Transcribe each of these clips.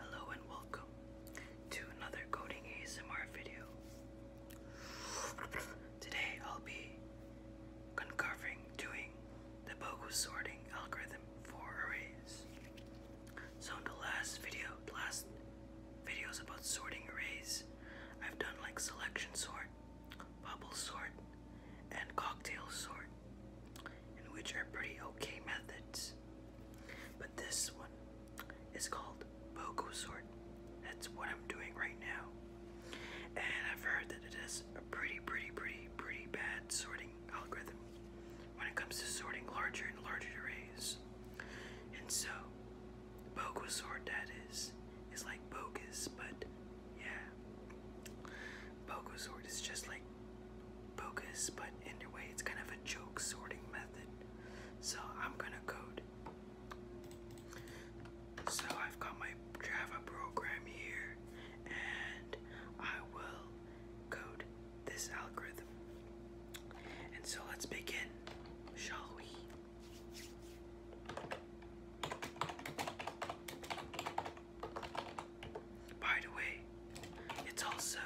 Hello and welcome to another coding ASMR video. Today I'll be uncovering doing the bogus sorting algorithm for arrays. So in the last video, last videos about sorting arrays, I've done like selection sort, bubble sort, and cocktail sort, which are pretty okay methods. But this one is called Bogo Sort. That's what I'm doing right now. And I've heard that it has a pretty, pretty, pretty, pretty bad sorting algorithm when it comes to sorting larger and larger arrays. And so, Bogo Sort that is, is like bogus, but yeah. Bogo Sort is just like bogus, but anyway, it's kind of a joke sorting method. So I'm gonna code. So I've got my Java program here, and I will code this algorithm. And so let's begin, shall we? By the way, it's also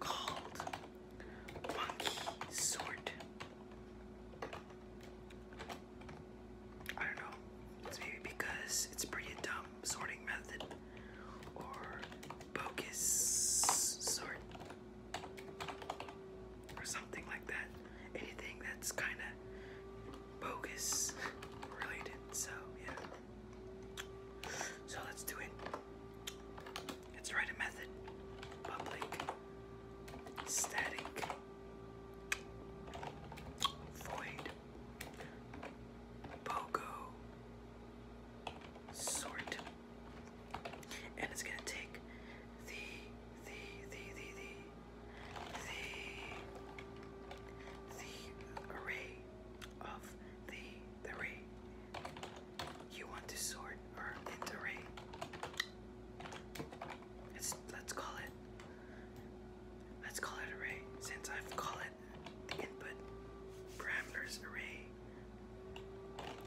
called monkey sword. I don't know. It's maybe because it's pretty dumb sorting method or bogus sort or something like that. Anything that's kind of bogus related. So, yeah. So let's do it. Let's write a method. Public static void pogo sort. And it's gonna take the the the the the the array of the three you want to sort or iterate. It's, let's call it let's call it array since I've called it the input parameters array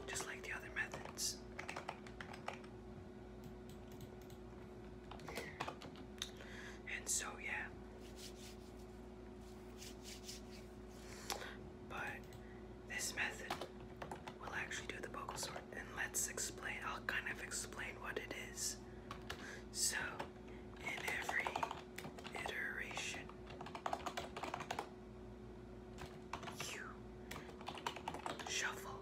just like the other methods. And so, yeah. But this method will actually do the vocal sort, and let's explain. I'll kind of explain what it is. So, in every iteration, you shuffle,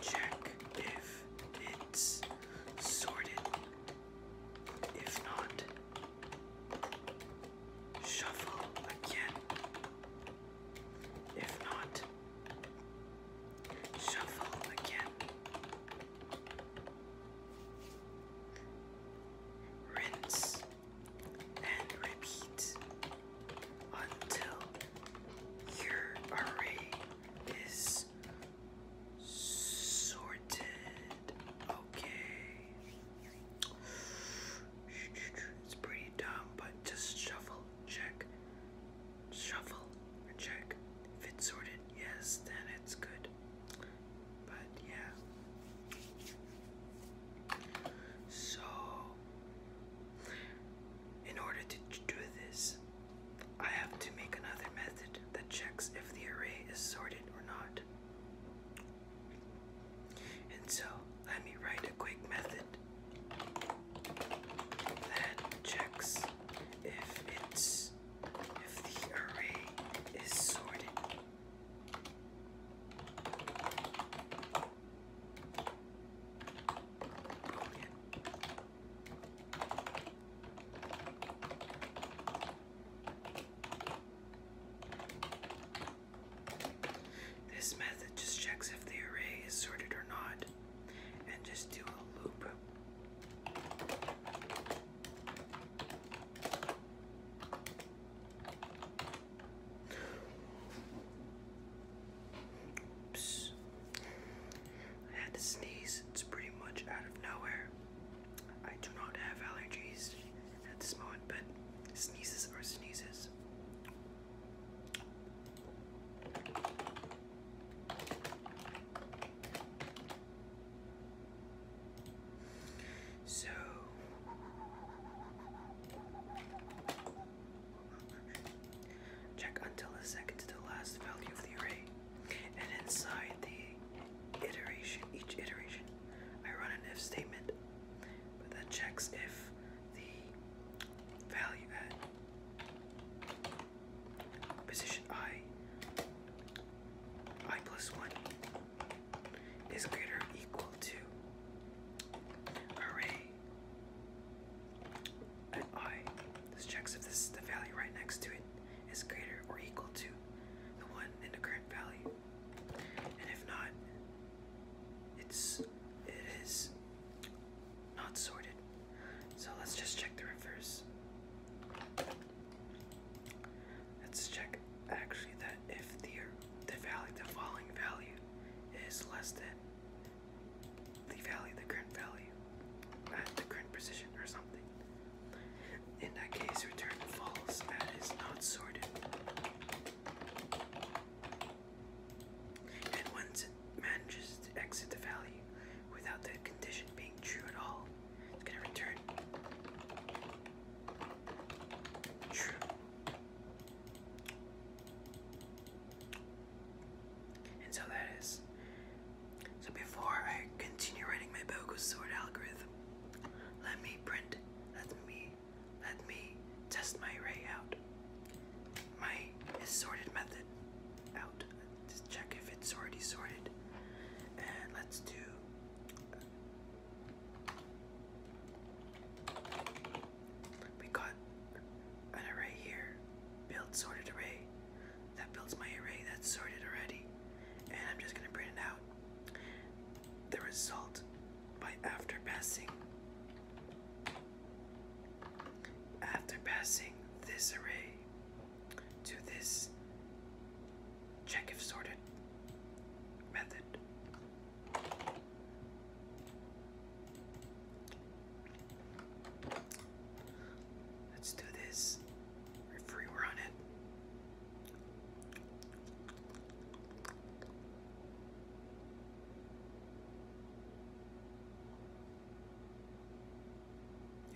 Check if it's sorted. If not, shuffle again. If not, shuffle again. Rinse and repeat until your array is sorted. Okay. It's pretty dumb, but just shuffle, check, shuffle, check. If it's sorted, yes, then it's good. But yeah. So, in order to do this, I have to make another method that checks if the array is sorted or not. And so let me write a quick method that checks if it's if the array is sorted. This method just checks if the array is sorted or not and just do a loop. I had to sneeze. It's pretty much out of nowhere. I do not have allergies at this moment, but sneezes are sneezes. So Check until the second to the last value of the array. And inside the iteration, each iteration, I run an if statement. But that checks if the value at position i, i plus 1, is greater equal to array at i, this checks if the value right next to it is greater or equal to the one in the current value, and if not, it's it is not sorted. So let's just check the reverse. Let's check actually that if the the value the following value is less than the valley, the current value, uh, at the current position or something. In that case, return false. That is not sorted. And once it manages to exit the value, without the condition being true at all, it's going to return true. And so that is. So before I continue writing my bogus sword algorithm, let me print, let me, let me test my array out. My is sorted method out. Just check if it's already sorted. And let's do. We got an array here, build sorted array. That builds my array that's sorted already. And I'm just gonna print it out. The result by after passing after passing this array to this check if sorted method. Let's do this. free run it.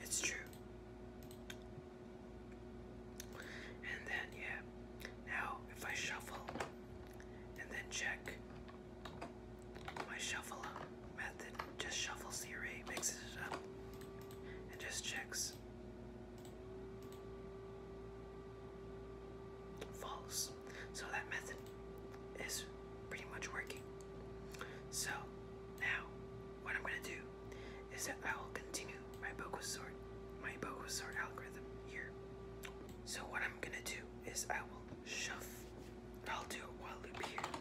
It's true. And then, yeah, now if I shuffle and then check, my shuffle method just shuffles the array, mixes it up, and just checks. False. So that method is pretty much working. So now what I'm gonna do is that I will continue my bogus sort my bogus algorithm here. So what I'm gonna do is I will shuffle. I'll do a while loop here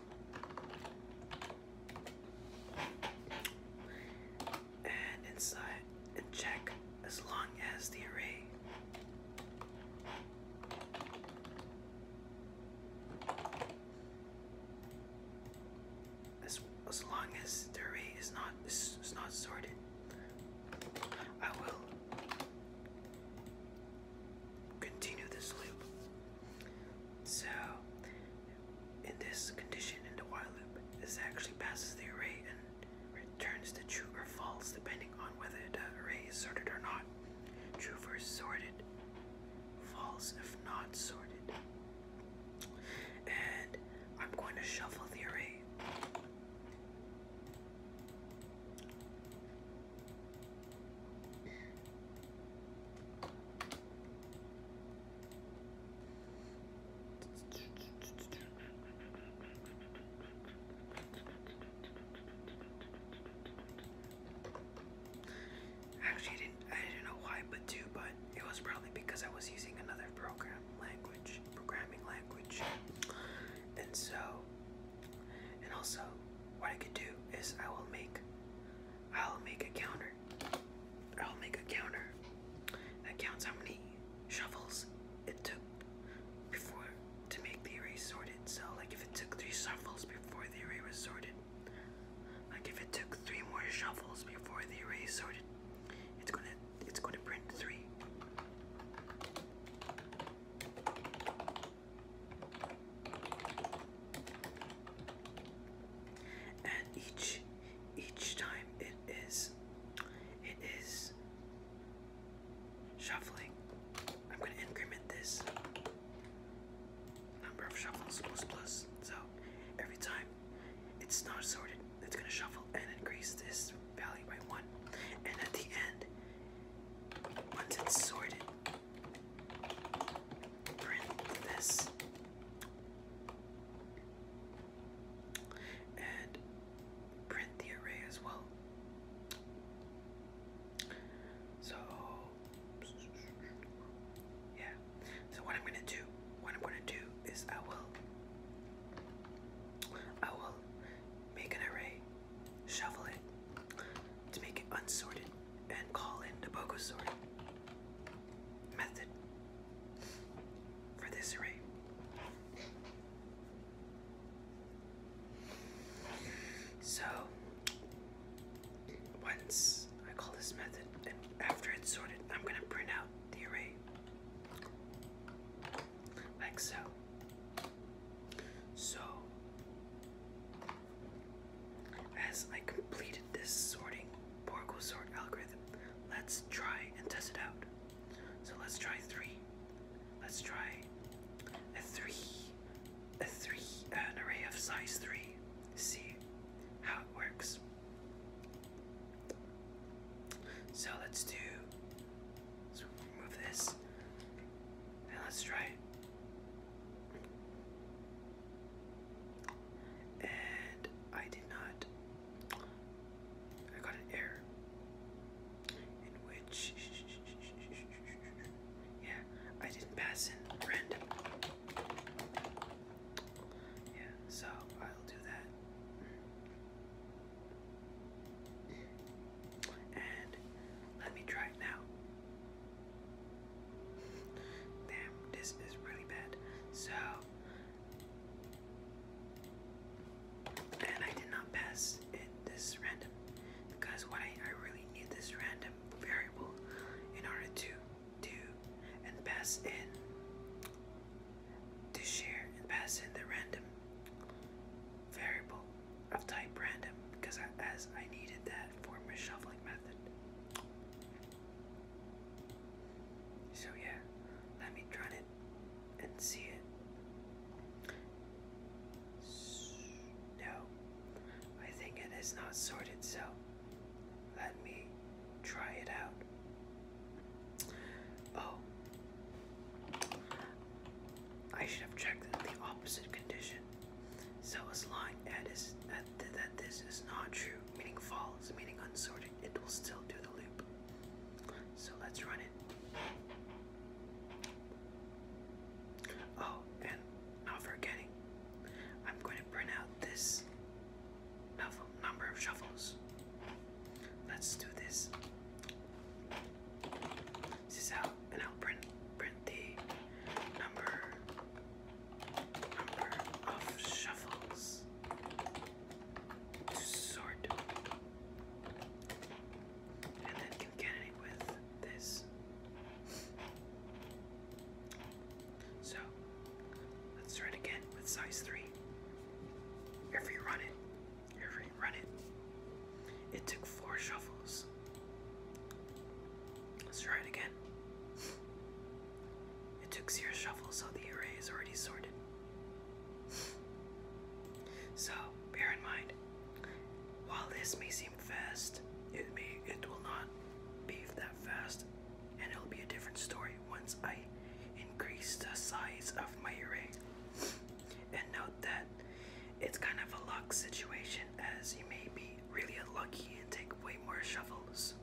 and inside check as long as the array as, as long as the array is not is not sorted I will continue this loop so, in this condition, in the while loop, this actually passes the array and returns the true or false depending on whether the array is sorted or not. True for sorted, false if not sorted. And I'm going to shuffle the array. Actually, I didn't. I didn't know why, but too, but it was probably because I was using another program language, programming language, and so and also, what I could do is I will make, I'll make a counter. I'll make a counter that counts how many shovels it took before to make the array sorted. So, like if it took three shovels before the array was sorted, like if it took three more shovels before the array sorted, it's gonna it's gonna print three and each each time it is it is shuffling. I'm gonna increment this number of shuffles plus plus. So every time it's not sorted, it's gonna shuffle and increase this value by one. And at the end, once it's sorted, print this and print the array as well. So yeah. So what I'm gonna do, what I'm gonna do is I will I will make an array Shuffle it to make it unsorted and call in the BOGO sort method for this array. So once I call this method and after it's sorted, I'm gonna print out the array like so. So as I completed this sorting Borgo algorithm, let's try and test it out. So let's try three. Let's try a three, a three, an array of size three. See how it works. So let's do. So remove this, and let's try and I did not. I got an error in which. Yeah, I didn't pass in random. Yeah, so I'll do that. And let me try it now. Damn, this is really bad. So, and I did not pass it this random because what I really need this random variable in order to do and pass in to share and pass in the random variable i will type random because I, as I needed that for my shoveling method. So yeah, let me run it and see it. No, I think it is not sorted, so let me try it out. Oh, I should have checked the opposite condition. So as long as that, that this is not true, meaning false, meaning unsorted, it will still do the loop. So let's run it. Oh, and not forgetting, I'm going to print out this number of shuffles. Let's do this. This is how and I'll print print the number number of shuffles to sort, and then concatenate with this. So let's try it again with size three. Every run it, every run it. It took four shuffles Let's try it again. It took zero shuffle, so the array is already sorted. So bear in mind, while this may seem fast, it may it will not be that fast, and it'll be a different story once I increase the size of my array. And note that it's kind of a luck situation as you may be really unlucky and take way more shovels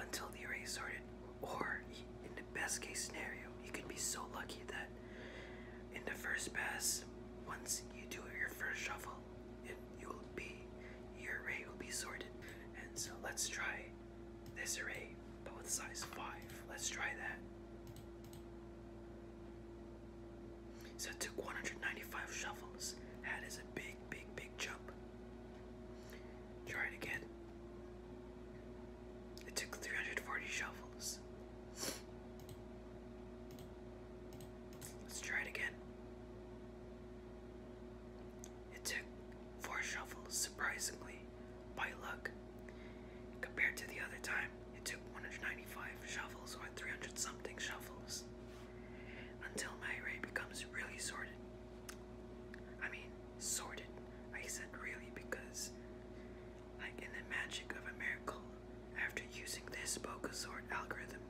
until the array is sorted, or in the best case scenario, you could be so lucky that in the first pass, once you do your first shuffle, it you'll be your array will be sorted. And so let's try this array, but with size five. Let's try that. So it took 195 shuffles. That is a big, big, big jump. Try it again. It took 340 shuffles. Let's try it again. It took four shuffles, surprisingly, by luck, compared to the other time. It took 195 shovels or 300 something shovels until my array becomes really sorted. I mean, sorted. I said really because, like in the magic of a miracle, after using this Boca sort algorithm,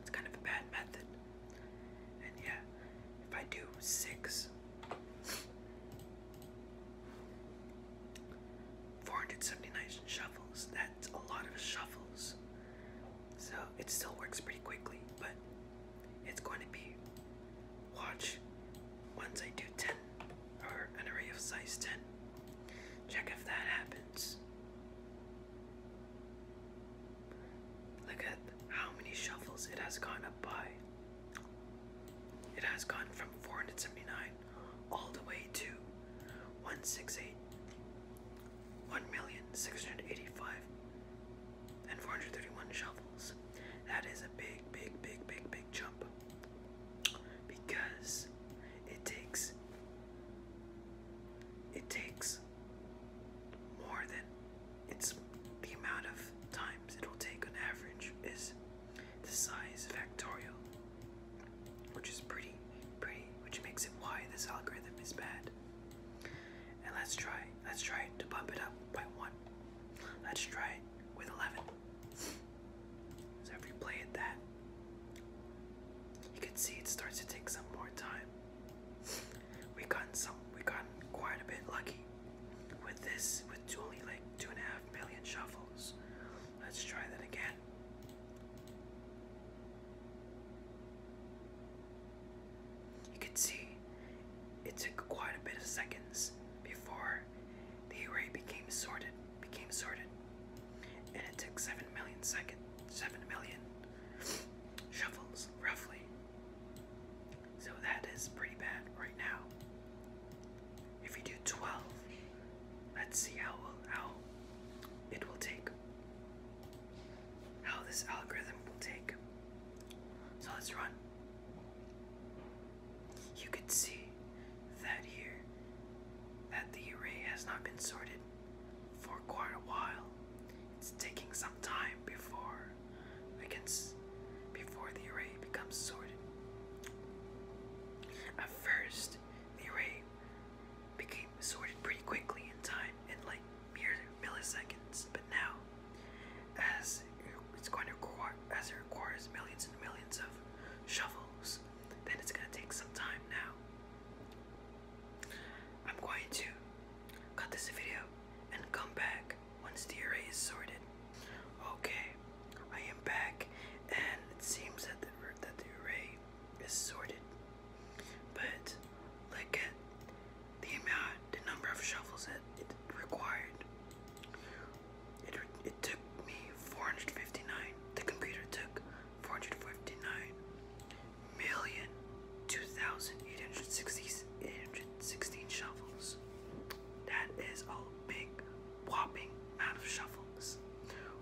it's kind of a bad method. And yeah, if I do six, 479 shuffles. That's a lot of shuffles. So it still works pretty quickly, but it's going to be watch once I do 10 or an array of size 10. Check if that happens. Look at how many shuffles it has gone up by. It has gone from 479 all the way to 168 1,685 and 431 shovels. That is a big, big, big, big, big jump because it takes it takes more than it's the amount of times it will take on average is the size factorial, which is pretty, pretty, which makes it why this algorithm is bad. And let's try, let's try to bump it up by one. Let's try with 11. So if you play it that, you can see it starts to take some more time. We gotten some, we gotten quite a bit lucky with this, with only like two and a half million shuffles. Let's try that again. You can see it took quite a bit of seconds before the array became sorted, became sorted, and it took seven million second, seven million shuffles roughly. So that is pretty bad right now. If you do 12, let's see how how it will take. How this algorithm will take. So let's run. You can see that here that the array has not been sorted for quite a while. It's taking some time before I can before the array becomes sorted. At first, the array became sorted pretty quickly in time, in like mere milliseconds. But now, as it's going to require, as it requires millions and millions of shovels, then it's going to take some time now. I'm going to cut this video and come back once the array is sorted. Okay, I am back, and it seems that the, array is sorted. But look at the amount, the number of shovels that it required. It, it took me 459. The computer took 459 million 2,816 shovels. That is a big, whopping amount of shovels songs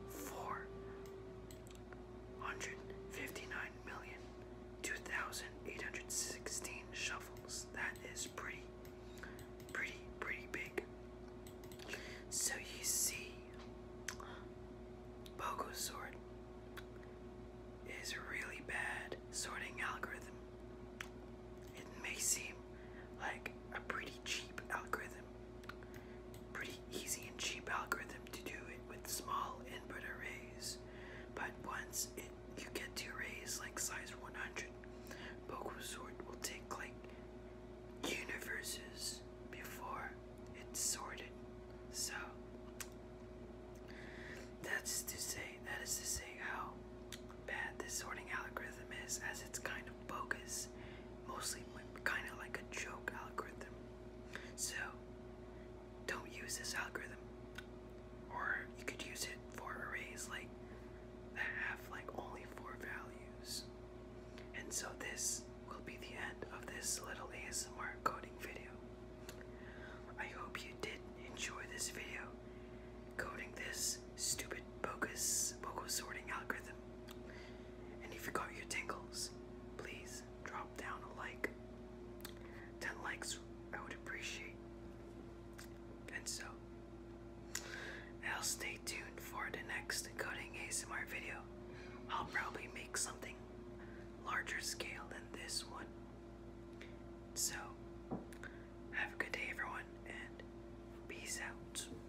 for 159,2816 shuffles. That is pretty, pretty, pretty big. So you see, Bogo Sword is a really bad sorting algorithm. It may seem like a pretty cheap algorithm, pretty easy and cheap algorithm to do it with small input arrays. But once you get to arrays like size 100, bogus Sort will take like universes before it's sorted. So that's to say, that is to say how bad this sorting algorithm is, as it's kind of bogus mostly kind of like a joke algorithm. So don't use this algorithm, or you could use it for arrays like that have like only four values. And so this will be the end of this little ASMR coding video. I hope you did enjoy this video coding this stupid bogus bogus sorting algorithm. And if you got your tingles, please drop down a like. 10 likes I would appreciate. And so, I'll stay tuned for the next coding ASMR video. I'll probably make something larger scale than this one. So, have a good day everyone and peace out.